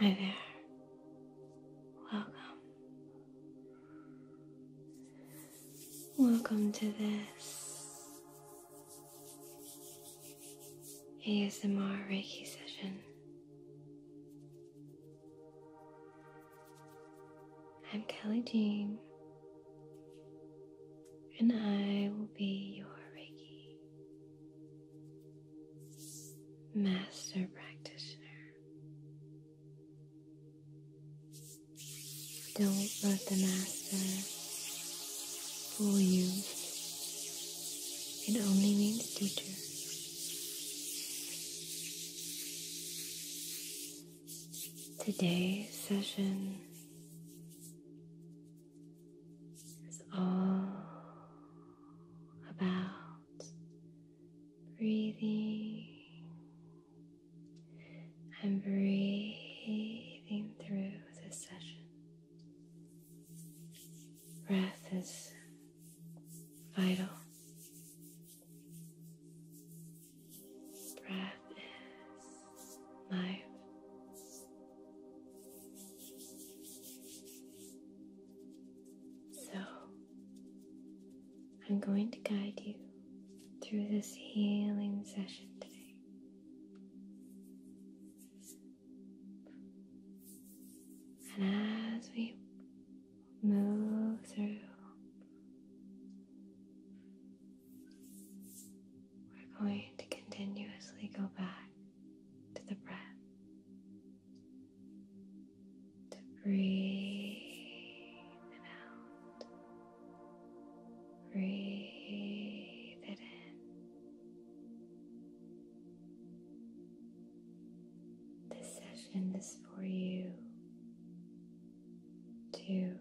Hi there. Welcome. Welcome to this ASMR Reiki session. I'm Kelly Jean, and I will be your Reiki master practitioner. Don't let the master fool you. It only means teacher. Today's session is all about breathing and breathing through this session. Breath is vital. Breath is life. So, I'm going to guide you through this healing session today. And as we move through, we're going to continuously go back to the breath to breathe it out, breathe it in. This session is for you to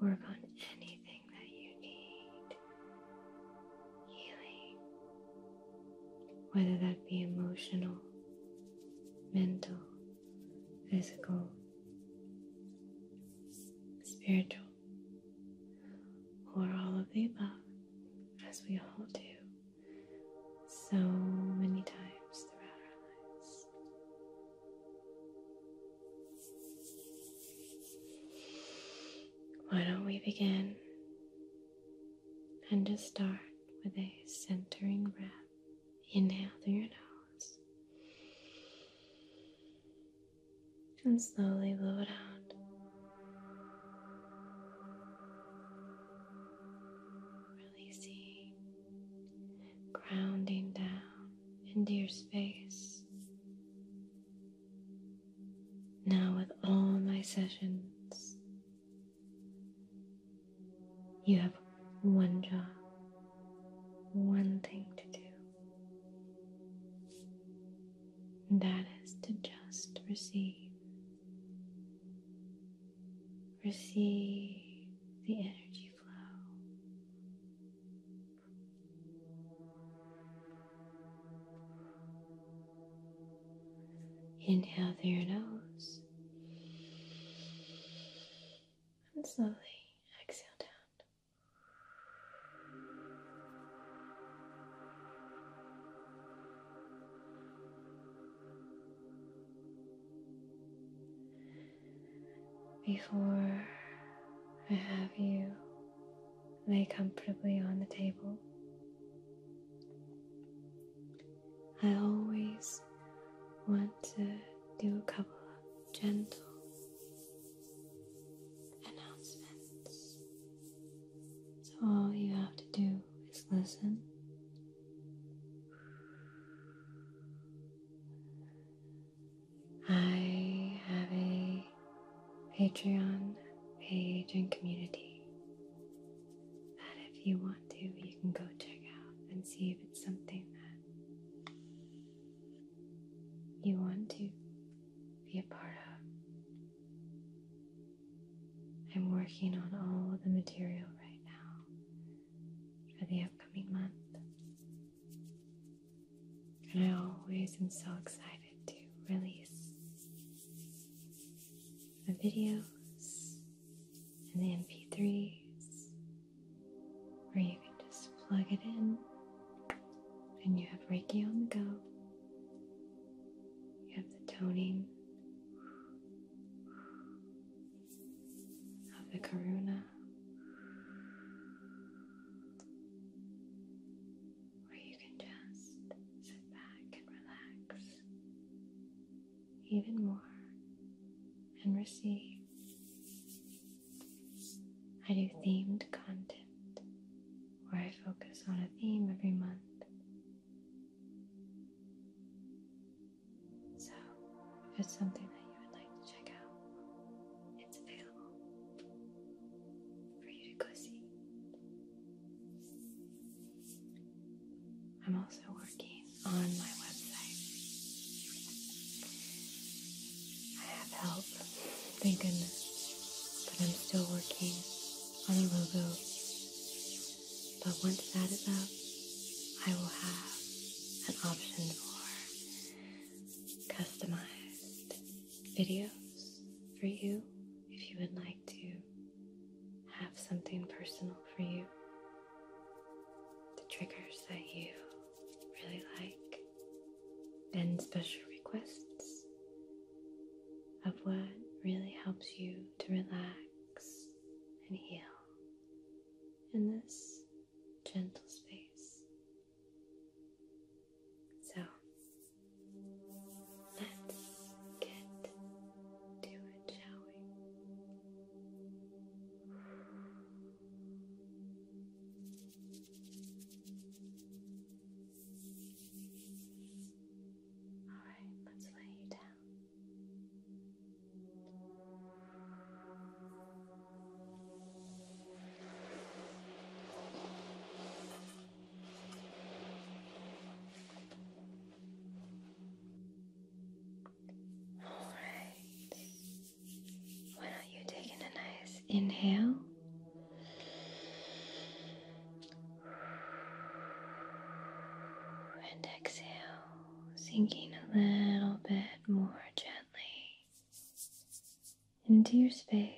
work on anything that you need healing, whether that be emotional, mental, physical, spiritual, or all of the above, as we all do so many times throughout our lives. Why don't we begin and just start with a centering breath? Inhale through your nose and slowly blow it out. Releasing, grounding down into your space now, with all my sessions, you have one job, one thing to do, that is to just receive. Receive the energy flow Inhale through your nose and slowly exhale out. Before I have you lay comfortably on the table. I always want to do a couple of gentle announcements. So all you have to do is listen. I have a Patreon page and community that if you want to, you can go check out and see if it's something that you want to be a part of. I'm working on all of the material right now for the upcoming month. And I always am so excited to release the videos and the MP3s where you can just plug it in and you have Reiki on the go. You have the toning of the Karuna or you can just sit back and relax even more and receive. I do themed content where I focus on a theme every month. So, if it's something that you would like to check out, it's available for you to go see. I'm also working on my website. I have help, thank goodness, but I'm still working on a logo. But once that is up, I will have an option for customized videos for you if you would like to have something personal for you. The triggers that you really like, and special requests of what really helps you to relax and heal in this gentle space so let's get to it, shall we? All right, let's lay you down. Alright. Why don't you take in a nice inhale? And exhale, sinking a little bit more gently into your space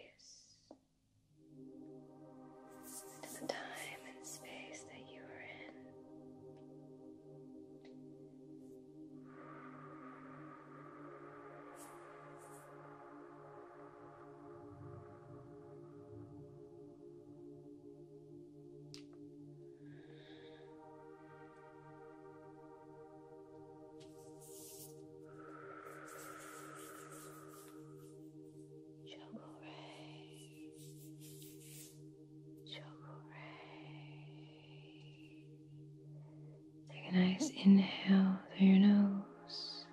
to the time and space that you are in. Take a nice inhale through your nose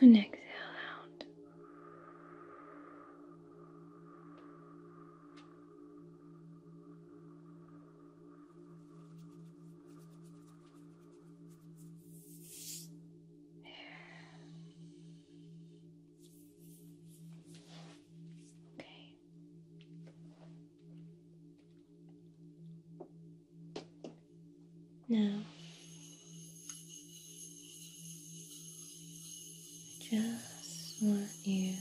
and exhale out. Okay. Now I just want you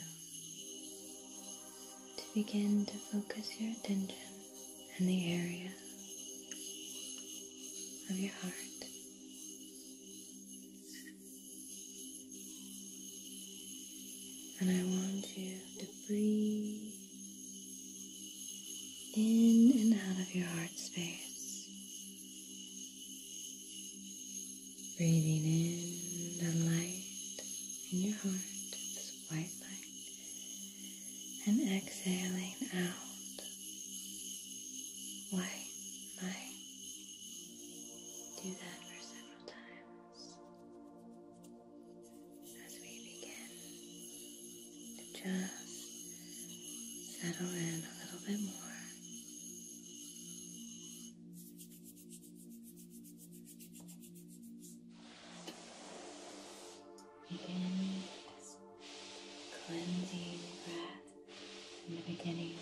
to begin to focus your attention in the area of your heart. And I want you to breathe in and out of your heart space. Breathing in the light in your heart, this white and exhaling out white light. Do that for several times as we begin to just settle in a little bit more. Begin this cleansing breath in the beginning.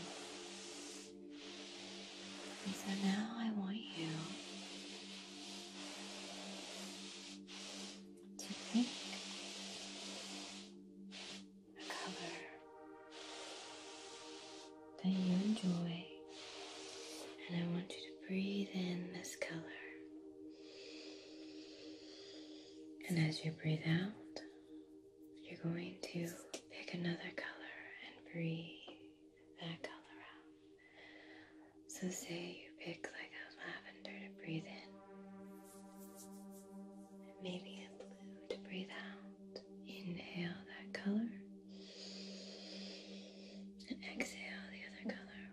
And so now I want you to think a that you enjoy, and I want you to breathe in this color. And as you breathe out, you're going to pick another color and breathe that color out. So, say you pick like a lavender to breathe in, maybe a blue to breathe out. Inhale that color exhale the other color.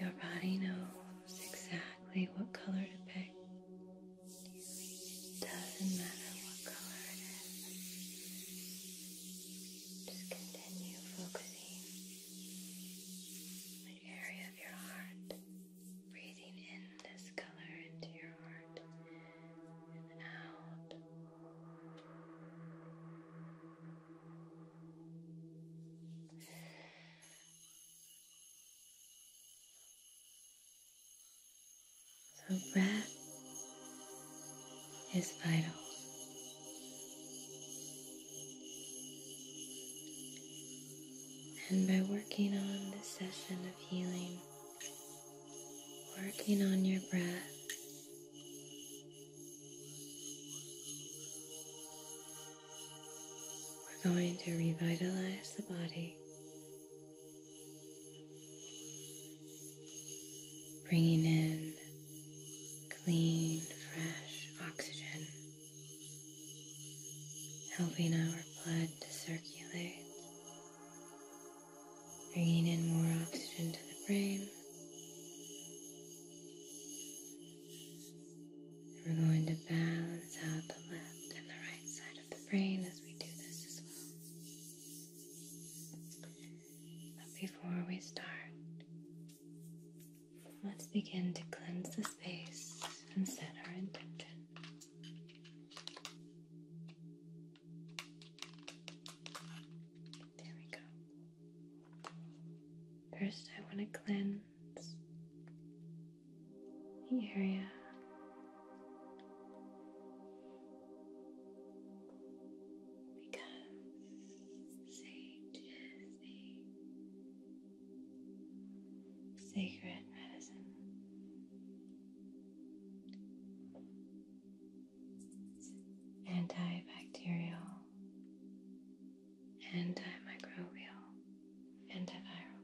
Your body knows exactly what color to pick. doesn't matter what color it is. Just continue focusing on the area of your heart. Breathing in this color into your heart and out. So, breath is vital. And by working on this session of healing, working on your breath, we're going to revitalize the body, bringing in clean, fresh oxygen helping our blood to circulate, bringing in more oxygen to the brain. We're going to balance out the left and the right side of the brain as we do this as well. But before we start, let's begin to cleanse the space and set our intention. There we go. First, I want to cleanse the area. Because sage is a sacred medicine. antibacterial, antimicrobial, antiviral.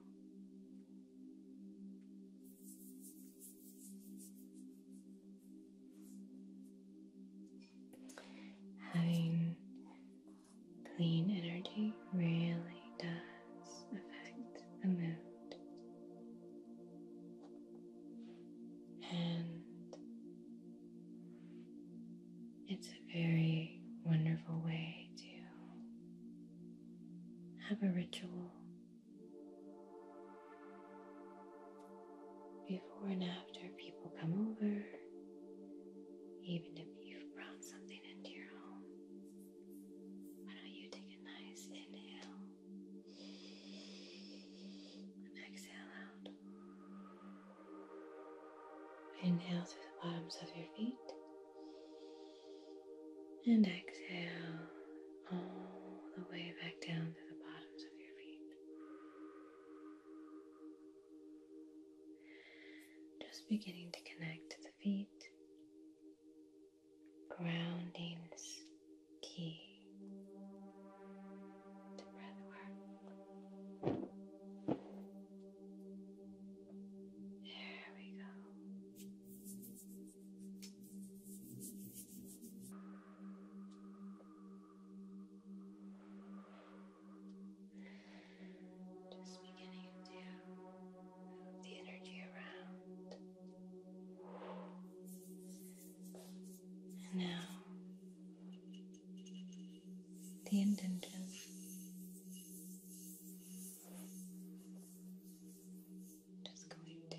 Having Clean energy really does affect the mood. And it's a very wonderful way to have a ritual before and after people come over, even if you've brought something into your home. Why don't you take a nice inhale exhale out? Inhale through the bottoms of your feet and exhale all the way back down to the bottoms of your feet. Just beginning to connect feet. Grounding's key to breath There we go. Just beginning to move the energy around. And now, the intention. Just going to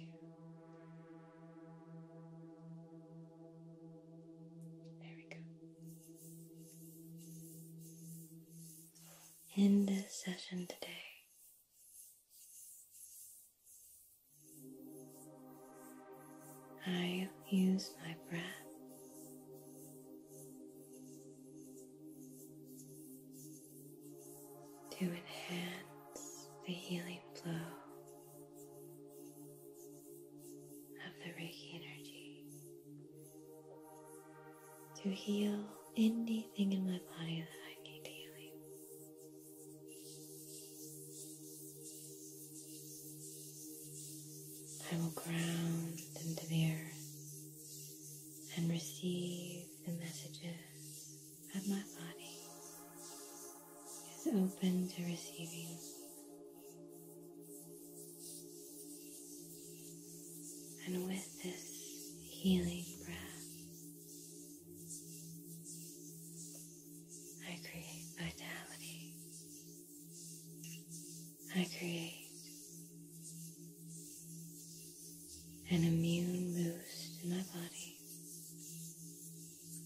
there we go in this session today. I use my breath to enhance the healing flow of the Reiki energy to heal anything in my body that I need healing. I will ground into the earth and receive the messages that my body is open to receiving. And with this healing breath, I create vitality. I create an immune boost in my body.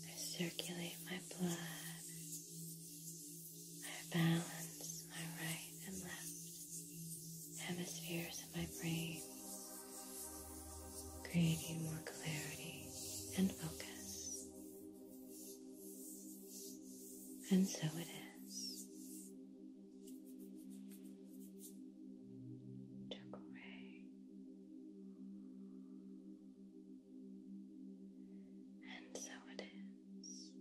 I circulate my blood. I balance my right and left hemispheres of my brain, creating more clarity and focus. And so it is. Took away. And so it is.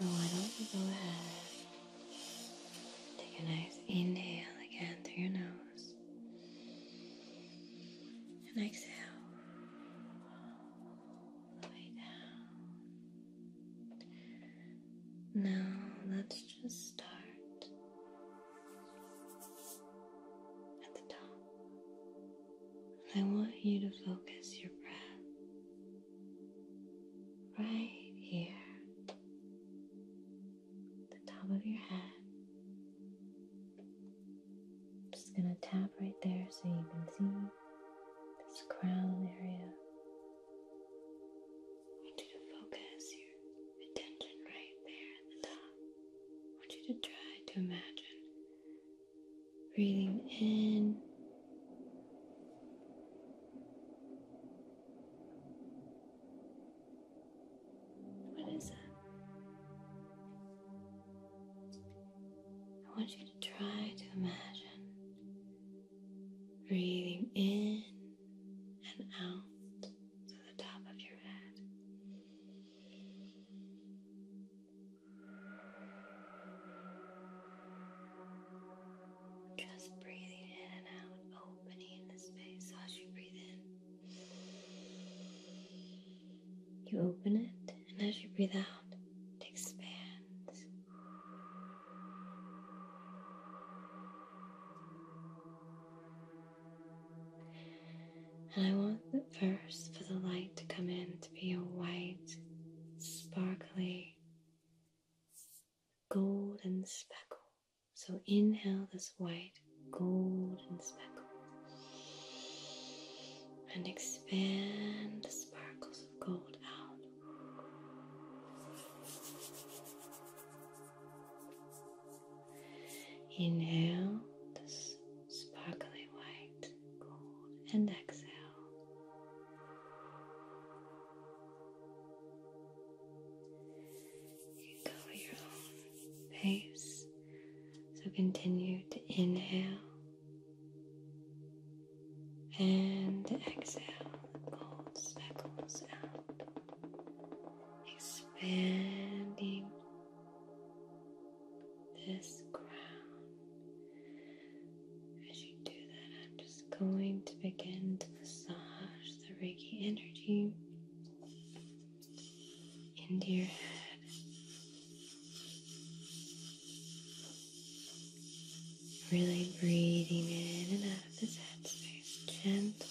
So why don't go ahead, take a nice inhale again through your nose, and exhale. Now let's just start at the top. I want you to focus your breath right here, the top of your head. just gonna tap right there so you can see this crown area. I want you to focus your attention right there at the top. want you to try to imagine breathing in What is that? I want you to try to imagine breathing in and out to the top of your head. Just breathing in and out, opening the space as you breathe in. You open it, and as you breathe out, it expands. And I want the first for the light to come in to be a white, sparkly, golden speckle. So inhale this white, golden speckle and expand the sparkles pulls the sparkly white gold and exhale. You go at your own pace. So continue to inhale and exhale the gold speckles out, expanding this crown. As you do that, I'm just going to begin to massage the Reiki energy into your head. Really breathing in and out of this headspace, gentle.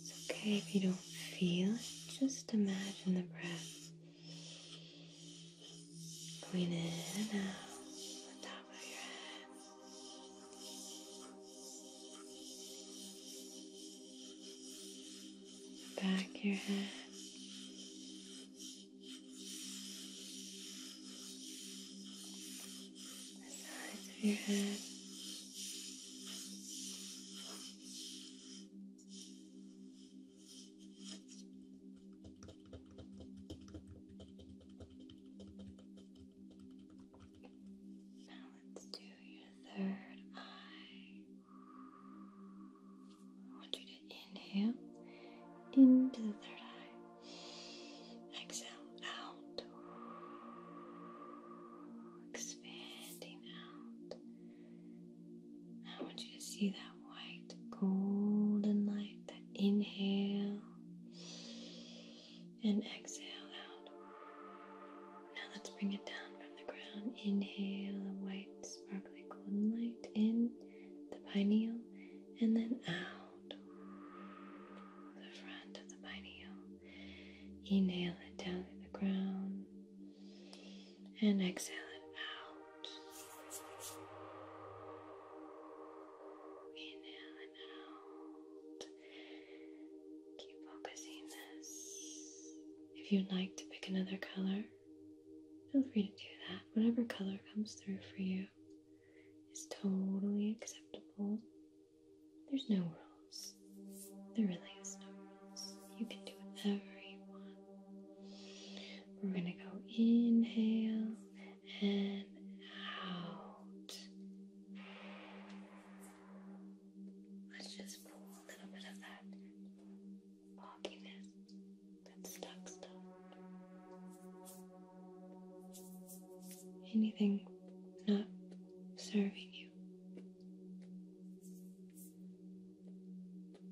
It's okay if you don't feel it, just imagine the breath going in and out on top of your head back your head. The sides of your head. Now let's do your third eye. I want you to inhale into the third eye. Exhale out. Expanding out. I want you to see that white golden light, that inhale and exhale out. Now let's bring it down from the ground. Inhale the white sparkly golden light in the pineal and then out the front of the pineal. Inhale it down to the ground and exhale it out. Inhale and out. Keep focusing this. If you'd like to pick another color, feel free to do that. Whatever color comes through for you is totally acceptable. There's no rules. There really is no rules. You can do whatever you want. We're going to go inhale and out. Let's just pull a little bit of that fogginess that stuck stuff. Anything not serving you.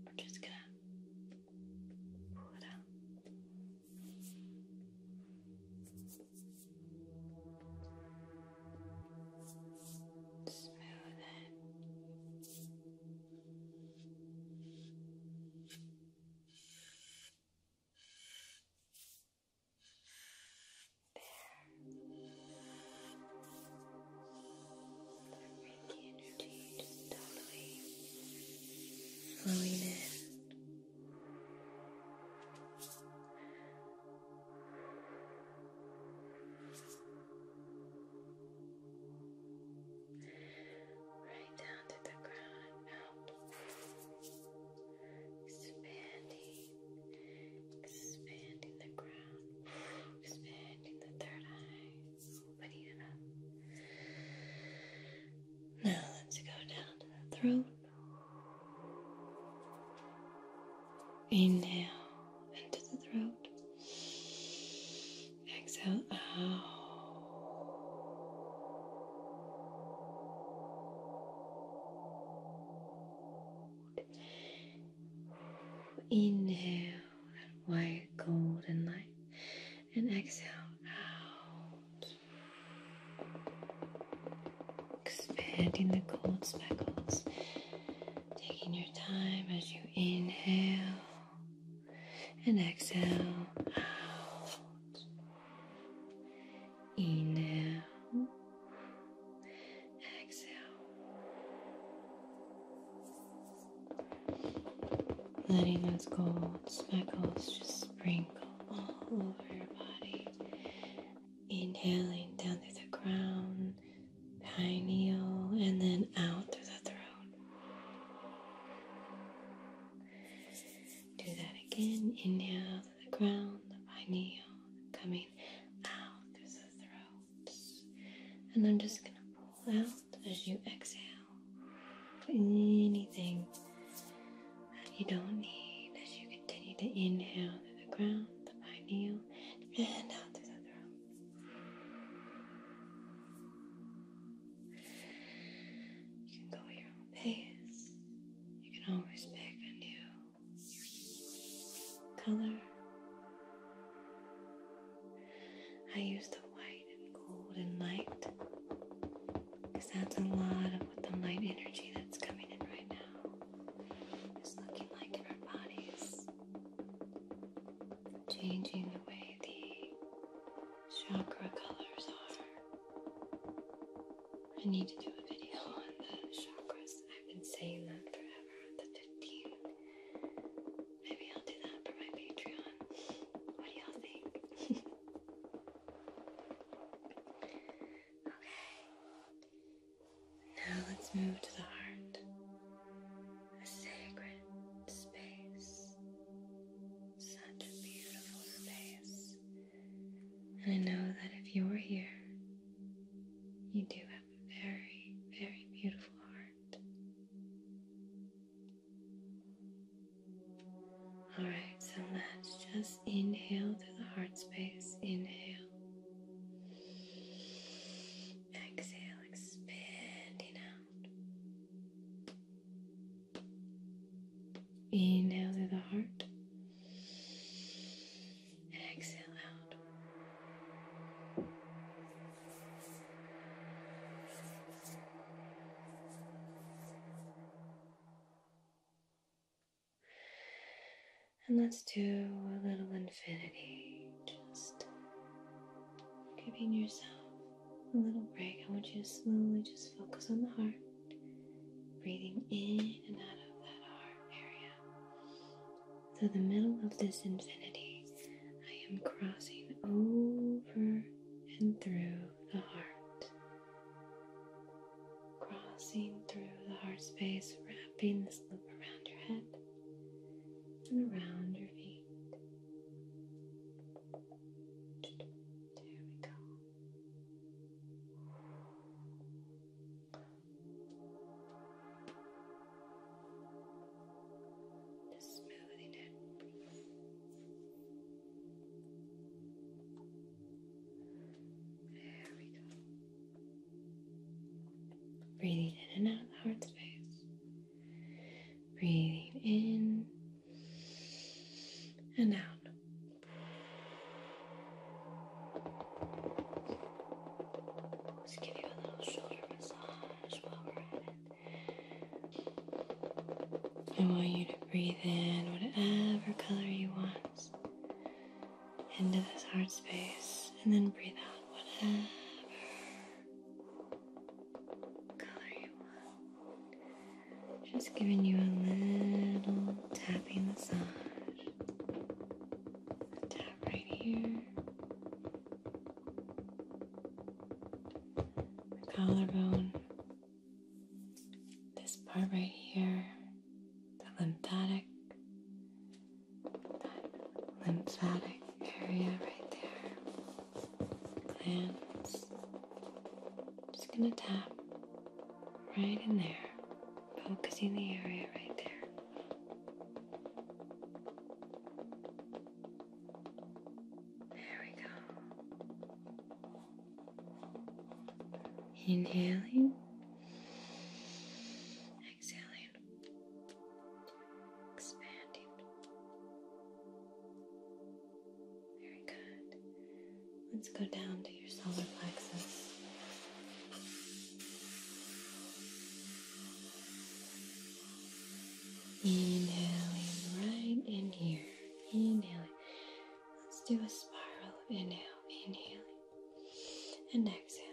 We're just gonna pull out. Smooth it. The Reiki energy just totally flowing in. Now right down to the ground, out, expanding, expanding the ground, expanding the third eye, opening it up. Now let's go down to the throat. Inhale into the throat. Exhale out. Inhale that white golden light and exhale out. Expanding the gold speckles. Taking your time as you inhale and exhale out. Inhale, exhale. Letting those gold speckles just sprinkle all over your body. Inhaling down to the ground pineal, and then out through the throat. Do that again. Inhale to the ground, the pineal, coming out through the throat. And I'm just going to pull out as you exhale anything that you don't need as you continue to inhale to the ground, the pineal, and out through the throat. You can go at your own pace. You can always pick a new color. I use the white and gold and light because that's a lot of what the light energy that's coming in right now is looking like in our bodies changing the way the chakra colors are. I need to do a video on the chakras. I've been saying that forever, the 15. Maybe I'll do that for my Patreon. What do y'all think? okay. Now let's move to the heart a sacred space, such a beautiful space. And I know that if you are here, you do have a very, very beautiful heart. Alright, so let's just inhale through the heart space. Inhale. Exhale, expanding out. Inhale through the heart. Exhale out. And let's do a little infinity, just giving yourself a little break, I want you to slowly just focus on the heart, breathing in and out of that heart area. So, the middle of this infinity, I am crossing over and through the heart, crossing through the heart space, wrapping this loop around your head and around your feet. There we go. Just smoothing There we go. Breathing in and out of the heart space. Breathing in and out. I want you to breathe in whatever color you want into this heart space and then breathe out whatever just giving you a little tapping massage. tap right here. The collarbone. This part right here. The lymphatic. lymphatic area right there just gonna tap right in there, focusing the area right there. There we go. Inhaling, exhaling. Very good. Let's go down to your solar plexus. Inhaling right in here. Inhaling. Let's do a spiral of inhale, inhaling, and exhaling.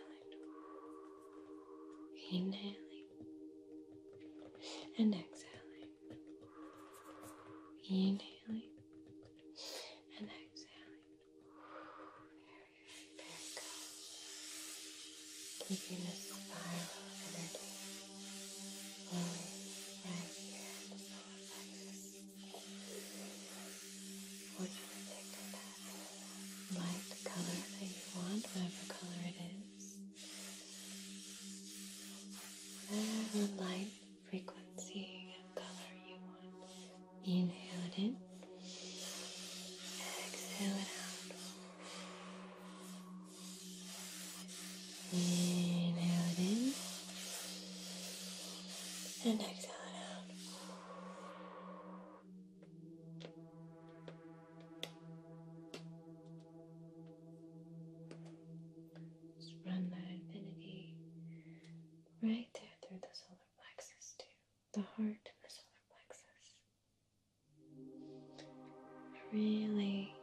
Inhaling and exhaling, inhaling and exhaling. Very, Keeping this spiral of energy right here What the solar you to pick color that you want, whatever color it is whatever light frequency and color you want. Inhale it in, exhale it out. Inhale it in, and exhale it out. Just run that infinity right there through the solar plexus, too. The heart and the solar plexus. really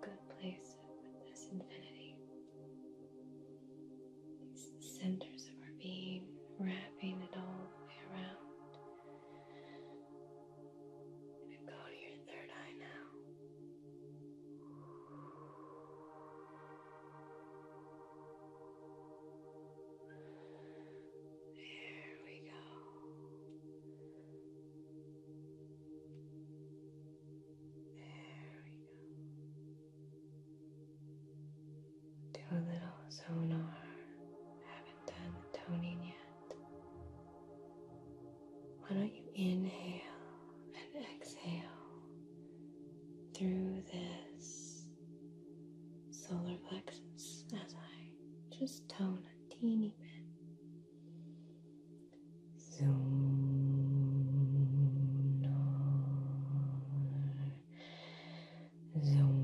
good place with this infinity. These centers of our being, wrapping it all the way around. And go to your third eye now. There we go. There we go. Do a little sonar done the toning yet. Why don't you inhale and exhale through this solar plexus as I just tone a teeny bit? Zoom, zoom,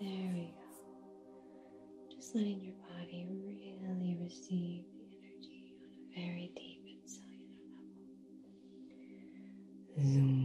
there we go. Just letting your body really receive the energy on a very deep and cellular level. Zoom.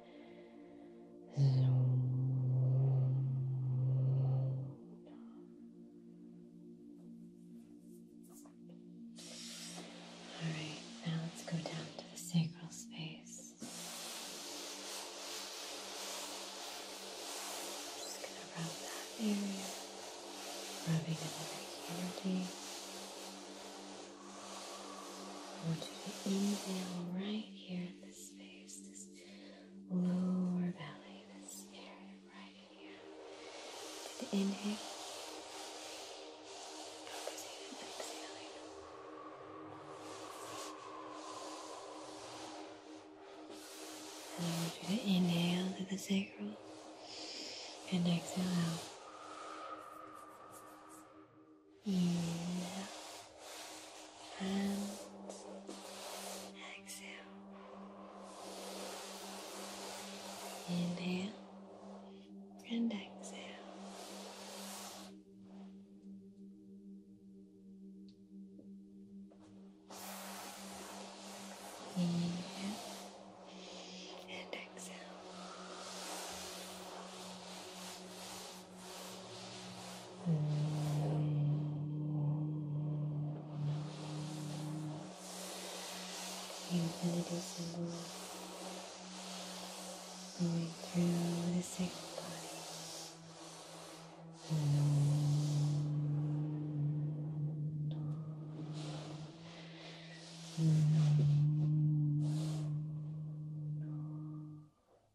All right, now let's go down to the sacral space. Just gonna rub that area, rubbing another energy. I want you to inhale right here in this space, lower belly, this area right here. And inhale. and exhaling. And I want you to inhale to the sacrum, and exhale out. Yeah. And exhale. Inhale and exhale. Inhale and exhale. The infinity symbol going through the sacral body. Mm -hmm.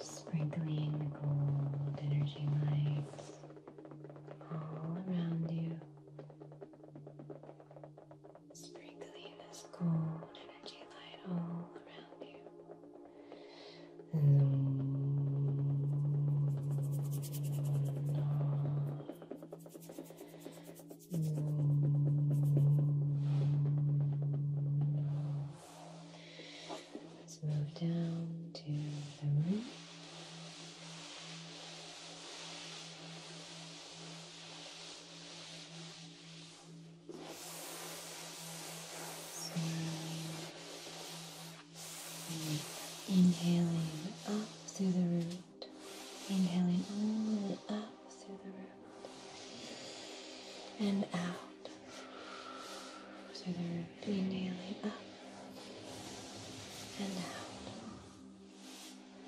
sprinkling the gold energy lights all around you. Sprinkling this gold energy light all around you. Let's move down to the root. So, inhaling up through the root, inhaling all the way up through the root and out. So they would be up and out.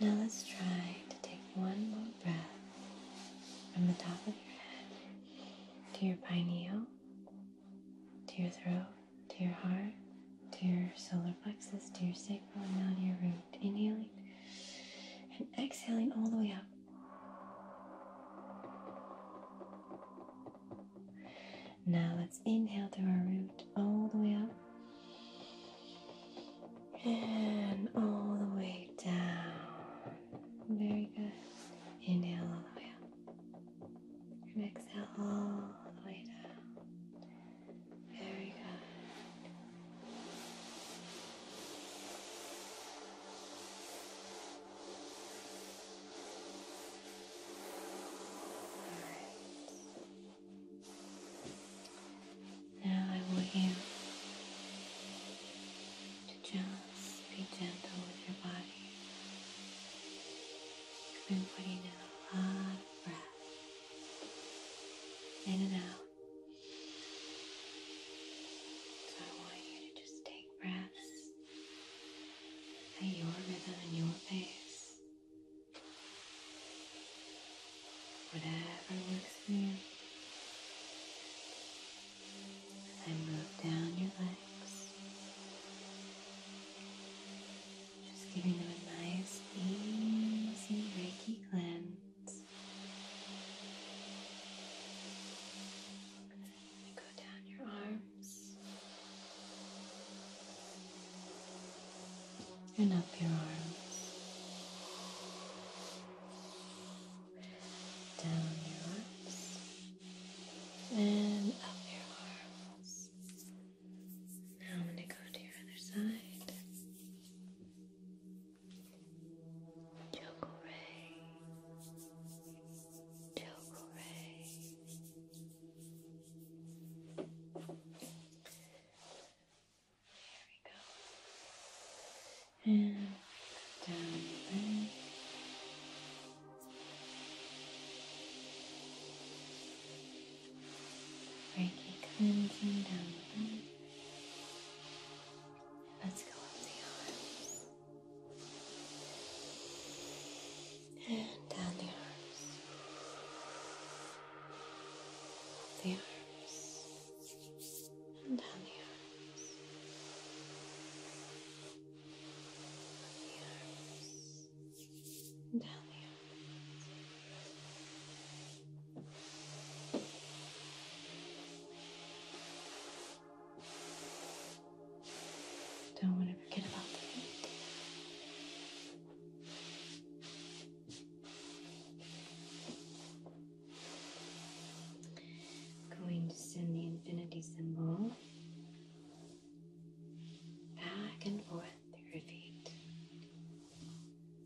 Now let's try to take one more breath from the top of your head to your pineal, to your throat, to your heart, to your solar plexus, to your sacral, and now to your root. Inhaling and exhaling all the way up. Now let's inhale through our root all the way up and all the way down. Very good. Inhale all the way up and exhale all the way down. Very good. All right. Now I want you to just be gentle with your body. I've been putting in a lot of breath in and out. So I want you to just take breaths at your rhythm and your pace. Whatever works for you. I move down your legs. Just giving them a nice, easy Reiki cleanse. And go down your arms and up your arms, down your arms, and up your arms. Now I'm going to go to your other side. Chocoray, Chocoray. There we go. And down there. Reiki cleansing down Let's go up the arms and down the arms, up the arms and down the arms, up the arms, down the arms. Don't want to forget about the I'm going to send the infinity symbol back and forth through your feet.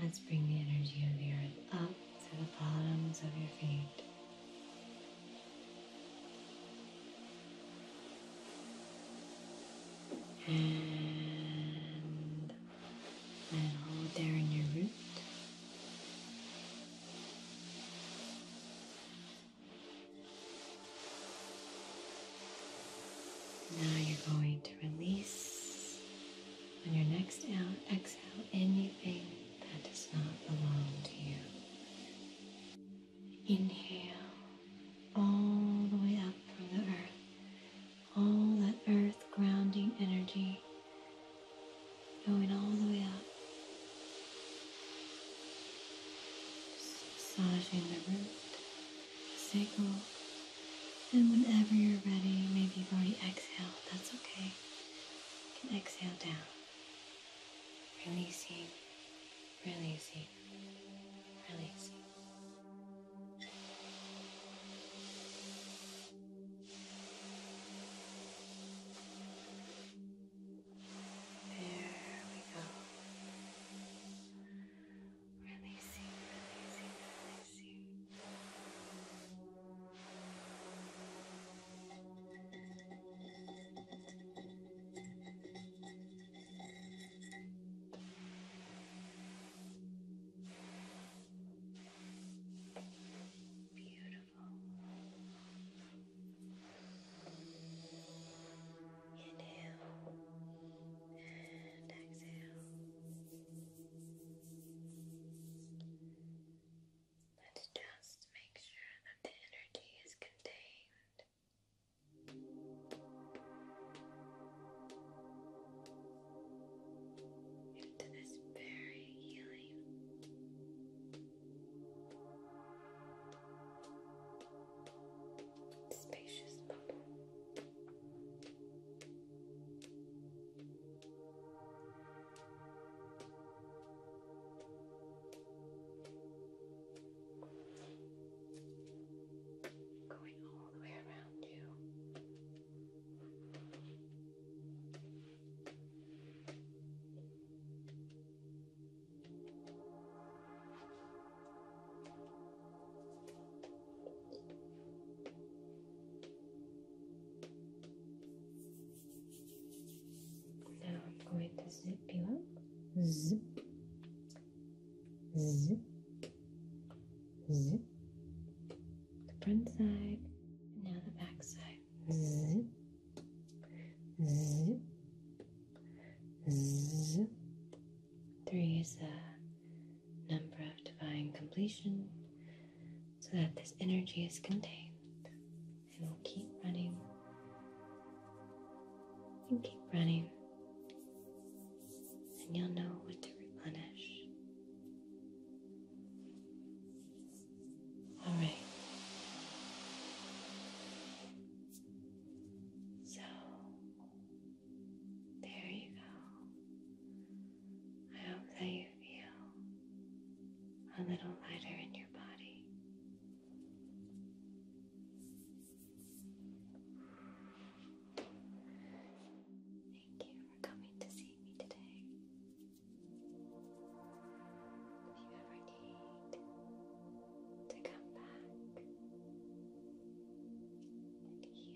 Let's bring the energy of the earth up to the bottoms of your feet. And then hold there in your root. Now you're going to release on your next exhale anything that does not belong to you. Inhale all the way up from the earth, all that earth grounding energy going all the way up, Just massaging the root, sacral, and whenever you're ready, maybe you've already exhaled, that's okay. exhale down releasing, releasing, releasing. There we go. Releasing, releasing, releasing. Beautiful. Inhale and exhale. Let's just make sure that the energy is contained. Into this very healing, spacious bubble. Going all the way around you. Good. Now I'm going to zip you up. Zip, zip, zip. The front side, and now the back side. Zip, zip, zip. Three is a number of divine completion, so that this energy is contained and we'll keep running and keep running, and you'll know what to replenish. All right. So there you go. I hope that you feel a little lighter in your Thank you for coming to see me today. If you ever need to come back and heal a little more, you're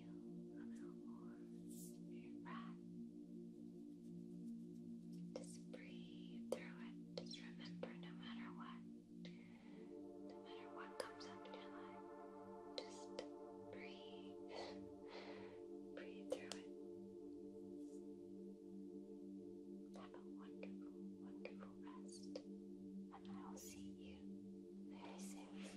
just breathe through it. Just remember no matter what, no matter what comes up in your life, just breathe. breathe through it. Have a wonderful, wonderful rest. And I will see you very soon.